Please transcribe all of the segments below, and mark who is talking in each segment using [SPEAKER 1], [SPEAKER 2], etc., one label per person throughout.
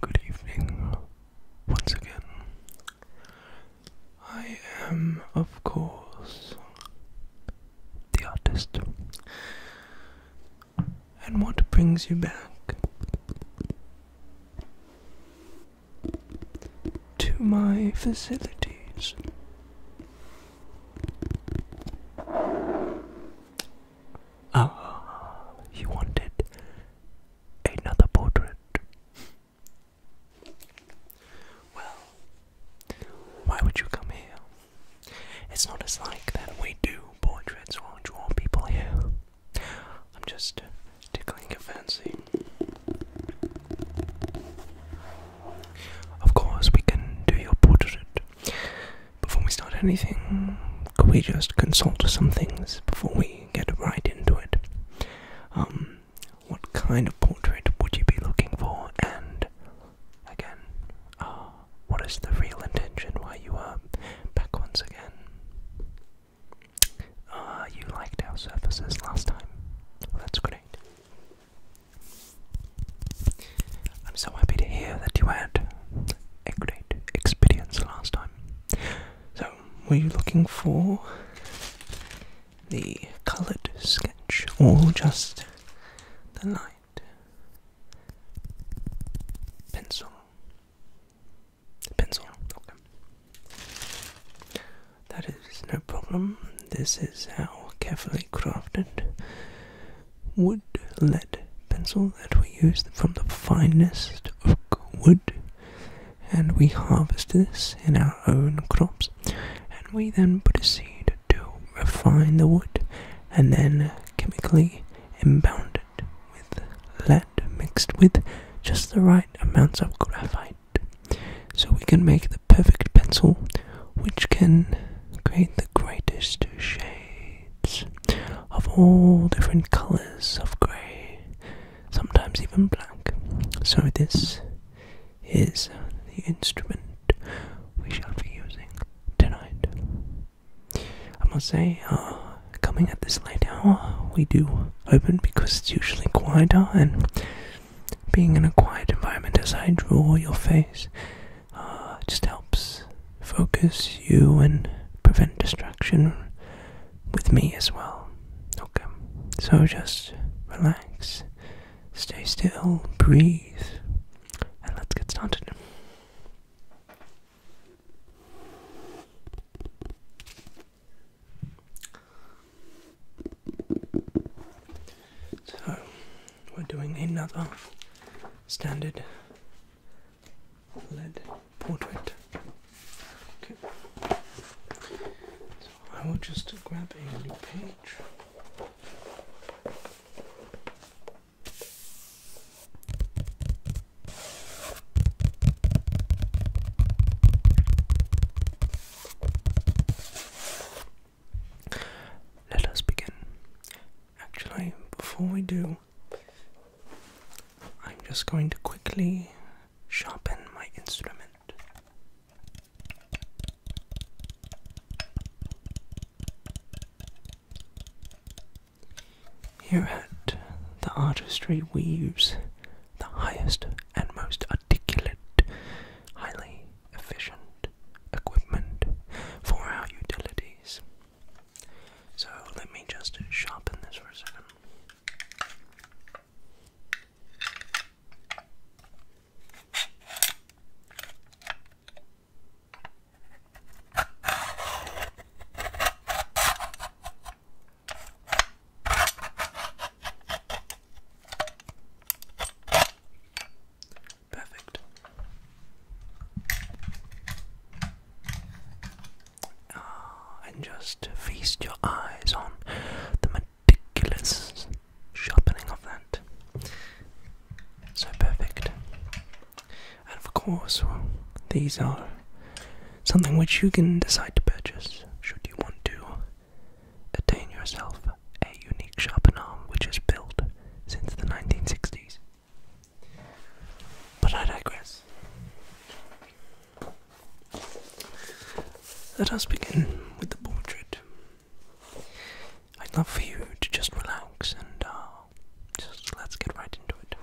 [SPEAKER 1] Good evening once again. I am, of course, the artist, and what brings you back to my facilities. Ah, you wanted another portrait. Well, why would you come here? It's not as like that we do portraits or draw people here. I'm just tickling your fancy. Of course, we can do your portrait. Before we start anything, could we just consult some things before we get right into it? Um, what kind of portrait would you be looking for, and again. Ah, what is the real intention why you are back once again? Ah, you liked our surfaces last time. that's great. I'm so happy to hear that you had a great experience last time. So, were you looking for the coloured sketch or just the line? Pencil. Pencil. That is no problem. This is our carefully crafted wood lead pencil that we use from the finest oak wood. And we harvest this in our own crops, and we then proceed to refine the wood and then chemically impounded with lead mixed with just the right amounts of graphite. So we can make the perfect pencil which can create the greatest shades of all different colors of grey, sometimes even black. So this is the instrument we shall be using tonight. I must say, uh, coming at this late hour, we do open because it's usually quieter, and being in a quiet environment as I draw your face uh, just helps focus you and prevent distraction with me as well. Okay, so just relax. Stay still, breathe, and let's get started. So, we're doing another standard lead portrait. Okay. I will just grab a new page. Let us begin. Actually, before we do, I'm just going to quickly sharpen my instrument. Here at the artistry weaves the highest and most articulate, highly efficient equipment for our utilities. So let me just sharpen this for a second. Perfect. Ah, and just feast your eyes on the meticulous sharpening of their so perfect. And of course, these are something which you can decide to purchase should you want to attain yourself a unique sharpened arm which is built since the 1960s. But I digress. Let us begin with the portrait I'd love for you to just relax and uh, just let's get right into it.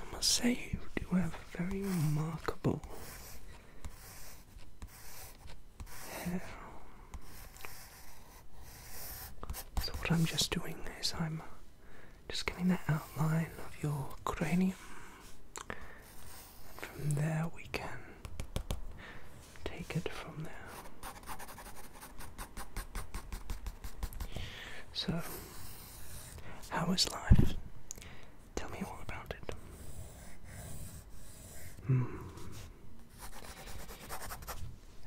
[SPEAKER 1] I must say, you do have a very remarkable hair. So, what I'm just doing is I'm just getting that outline of your cranium. And from there, we can take it from there. So, how is life? Tell me all about it. Hmm.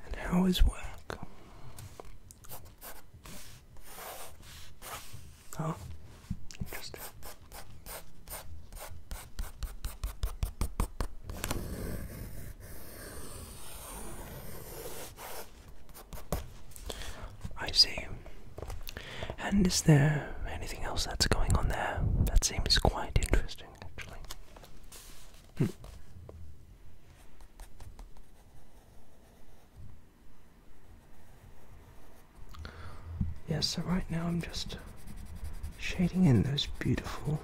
[SPEAKER 1] And how is work? Oh, interesting. I see. And is there anything else that's going on there? That seems quite interesting, actually. Hmm. Yes. so right now I'm just shading in those beautiful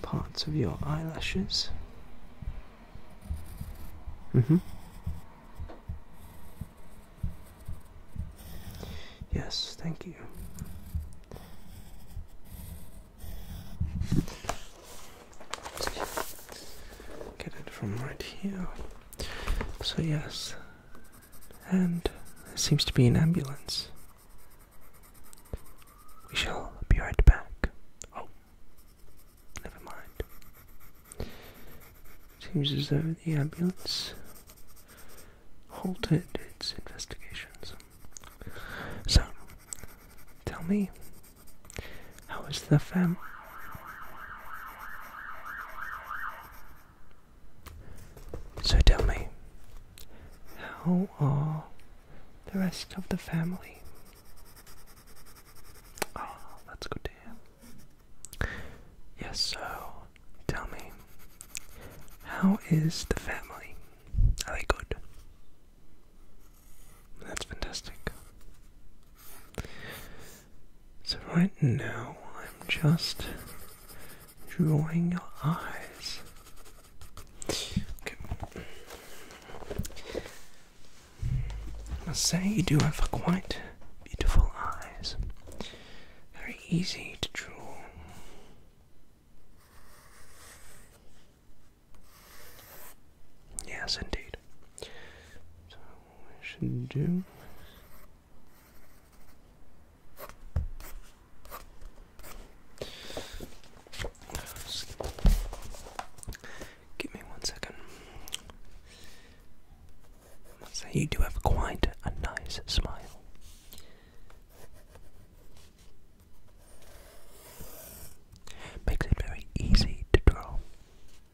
[SPEAKER 1] parts of your eyelashes. Mm hmm. Yes, thank you. Get it from right here. So, yes, and there seems to be an ambulance. We shall be right back. Oh, never mind. Seems as though the ambulance halted its investigations. So, tell me, how is the fam? So tell me, how are the rest of the family? Oh, that's good to hear. Yes, so tell me, how is the family? Are they good? That's fantastic. So, right now, I'm just drawing your eyes. I must say, you do have quite beautiful eyes. Very easy to draw. Yes, indeed. So we should do Give me one second. say you do have quite a nice smile. Makes it very easy to draw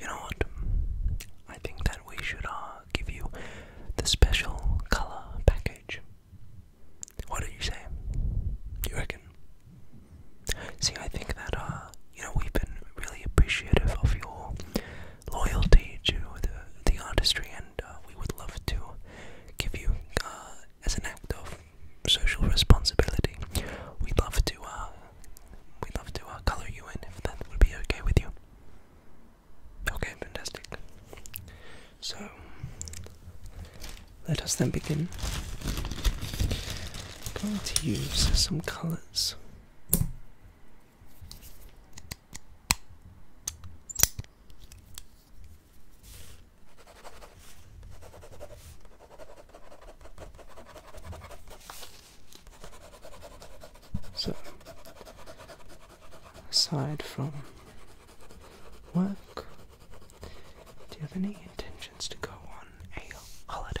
[SPEAKER 1] You know what? I think that we should uh, give you the special color package. What do you say? You reckon? See, I think that uh, you know we've been really appreciative of your loyalty to the the artistry, and uh, we would love to give you as an act of social responsibility, we'd love to uh, we'd love to uh, color you in if that would be okay with you. Okay, fantastic. So let us then begin. I'm going to use some colors. So, aside from work, do you have any intentions to go on a holiday?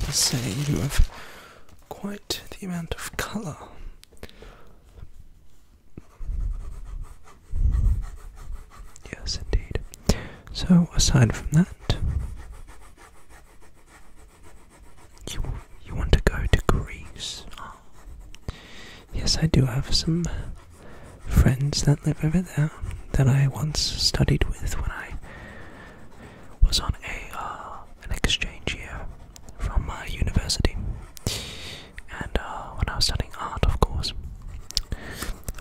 [SPEAKER 1] To say you have quite the amount of colour. Yes, indeed. So, aside from that, you you want to go to Greece? Ah. Yes, I do have some friends that live over there that I once studied with when I was on a uh, an exchange year from my university, and uh, when I was studying art, of course.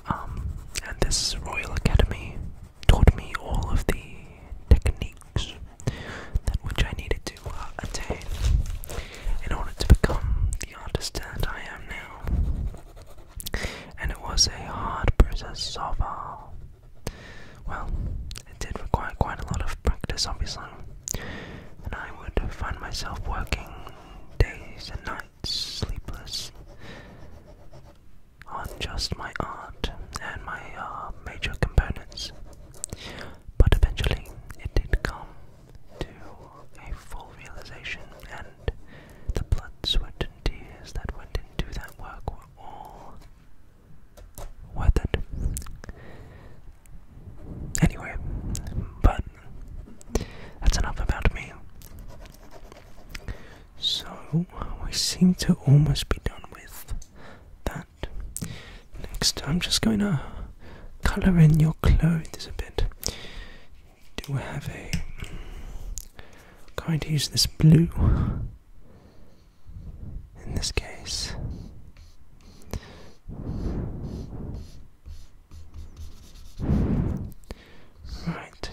[SPEAKER 1] Um, and this Royal Academy taught me all of the techniques that which I needed to uh, attain in order to become the artist that I am now. And it was a hard process so far. Uh, well, it did require quite a lot of practice, obviously, and I would find myself working days and nights, sleepless, on just my art and my uh, major components. But eventually, it did come to a full realization, and the blood, sweat, and tears that went into that work were all worth it. Anyway, but that's enough about me. So, we seem to almost be done with that. Next, I'm just going to color in your clothes a bit. Do we have a. I'm going to use this blue in this case. Right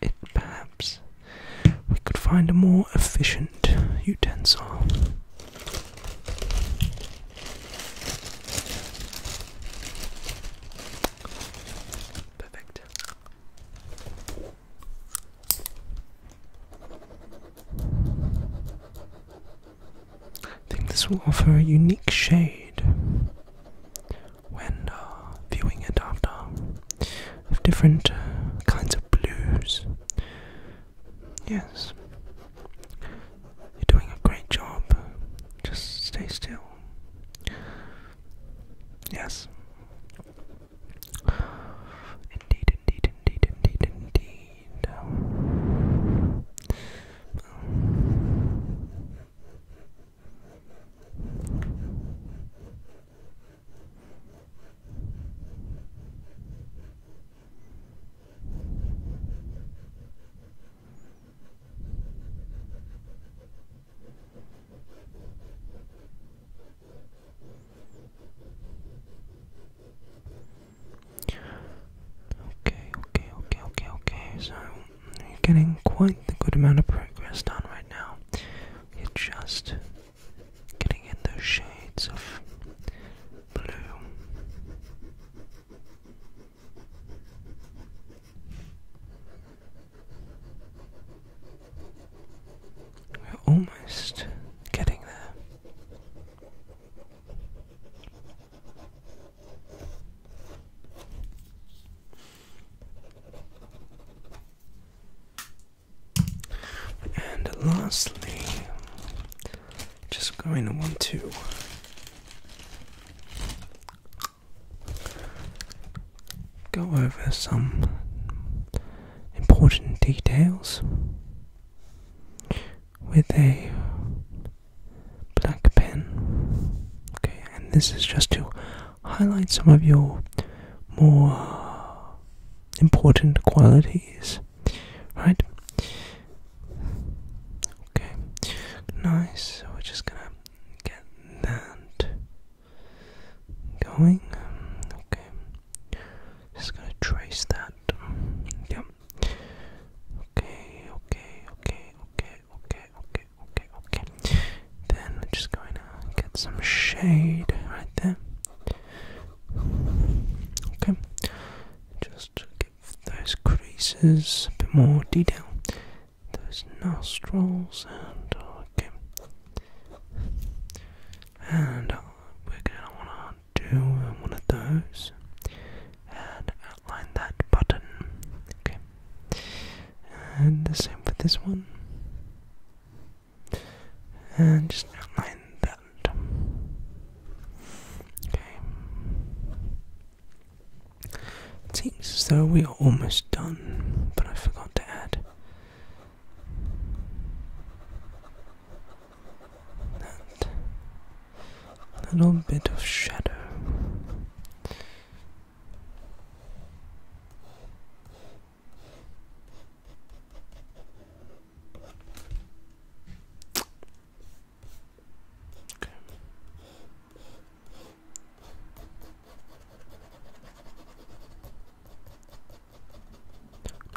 [SPEAKER 1] it perhaps we could find a more efficient utensil. Perfect. I think this will offer a unique shade when uh, viewing it after of different kinds of blues. Yes, you're doing a great job. Just stay still. Yes. Indeed, indeed, indeed, indeed, indeed. Okay, okay, okay, okay, okay. So you're getting quite a good amount of progress done right now. you just getting in those shades of blue. We're almost getting there. And lastly, just going to want to go over some important details with a black pen. Okay, and this is just to highlight some of your more important qualities, right? Okay, nice. we're just gonna get that going. Okay, just gonna trace that. Yep. Okay, okay, okay, okay, okay, okay, okay, okay. Then we're just going to get some shade right there. Okay, just to give those creases a bit more detail. Those nostrils and okay. And uh, we're gonna wanna do one of those and outline that button. Okay. And the same for this one. And just outline that. Okay. It seems as though we are almost done, but I forgot to add that little bit of shadow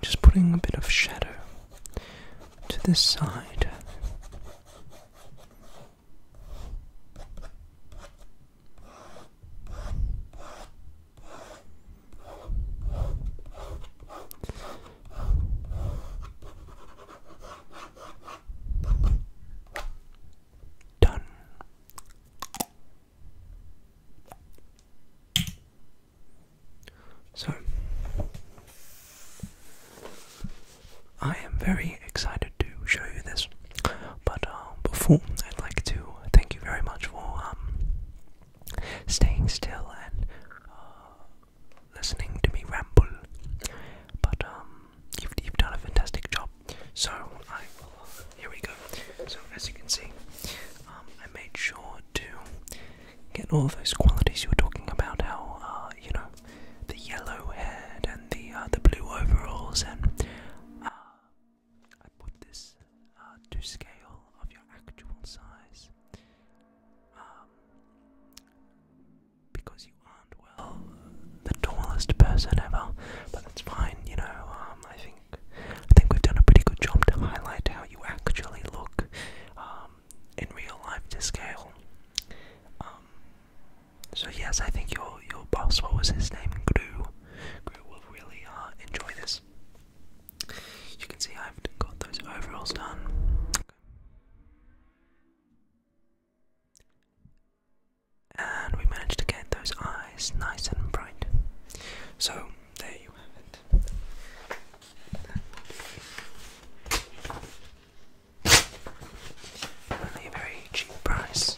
[SPEAKER 1] just putting a bit of shadow to this side. Done. So, I am very excited to show you this. But um, before, I'd like to thank you very much for um, staying still and uh, listening to me ramble. But um, you've, you've done a fantastic job. So I here we go. So as you can see, I made sure to get all those qualities you were talking about. How uh, you know the yellow head and the uh, the blue overalls and. I put this uh, to scale of your actual size um, because you aren't well the tallest person ever, but that's fine. You know, um, I think I think we've done a pretty good job to highlight how you actually look um, in real life to scale. so yes, I think your your boss, what was his name, Gru, crew will really uh, enjoy this. You can see I've got those overalls done. And we managed to get those eyes nice and bright. So there you have it. Only very cheap price.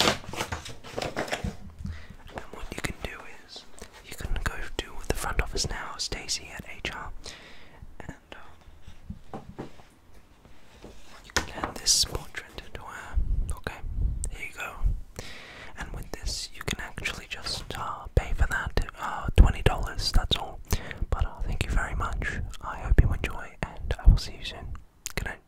[SPEAKER 1] And what you can do is you can go to the front office now, Stacey at HR, and uh, you can hand this portrait to her. Okay, here you go. And with this, you can actually just uh, pay for that uh, $20, that's all. But thank you very much. I hope you enjoy, and I will see you soon. Good night.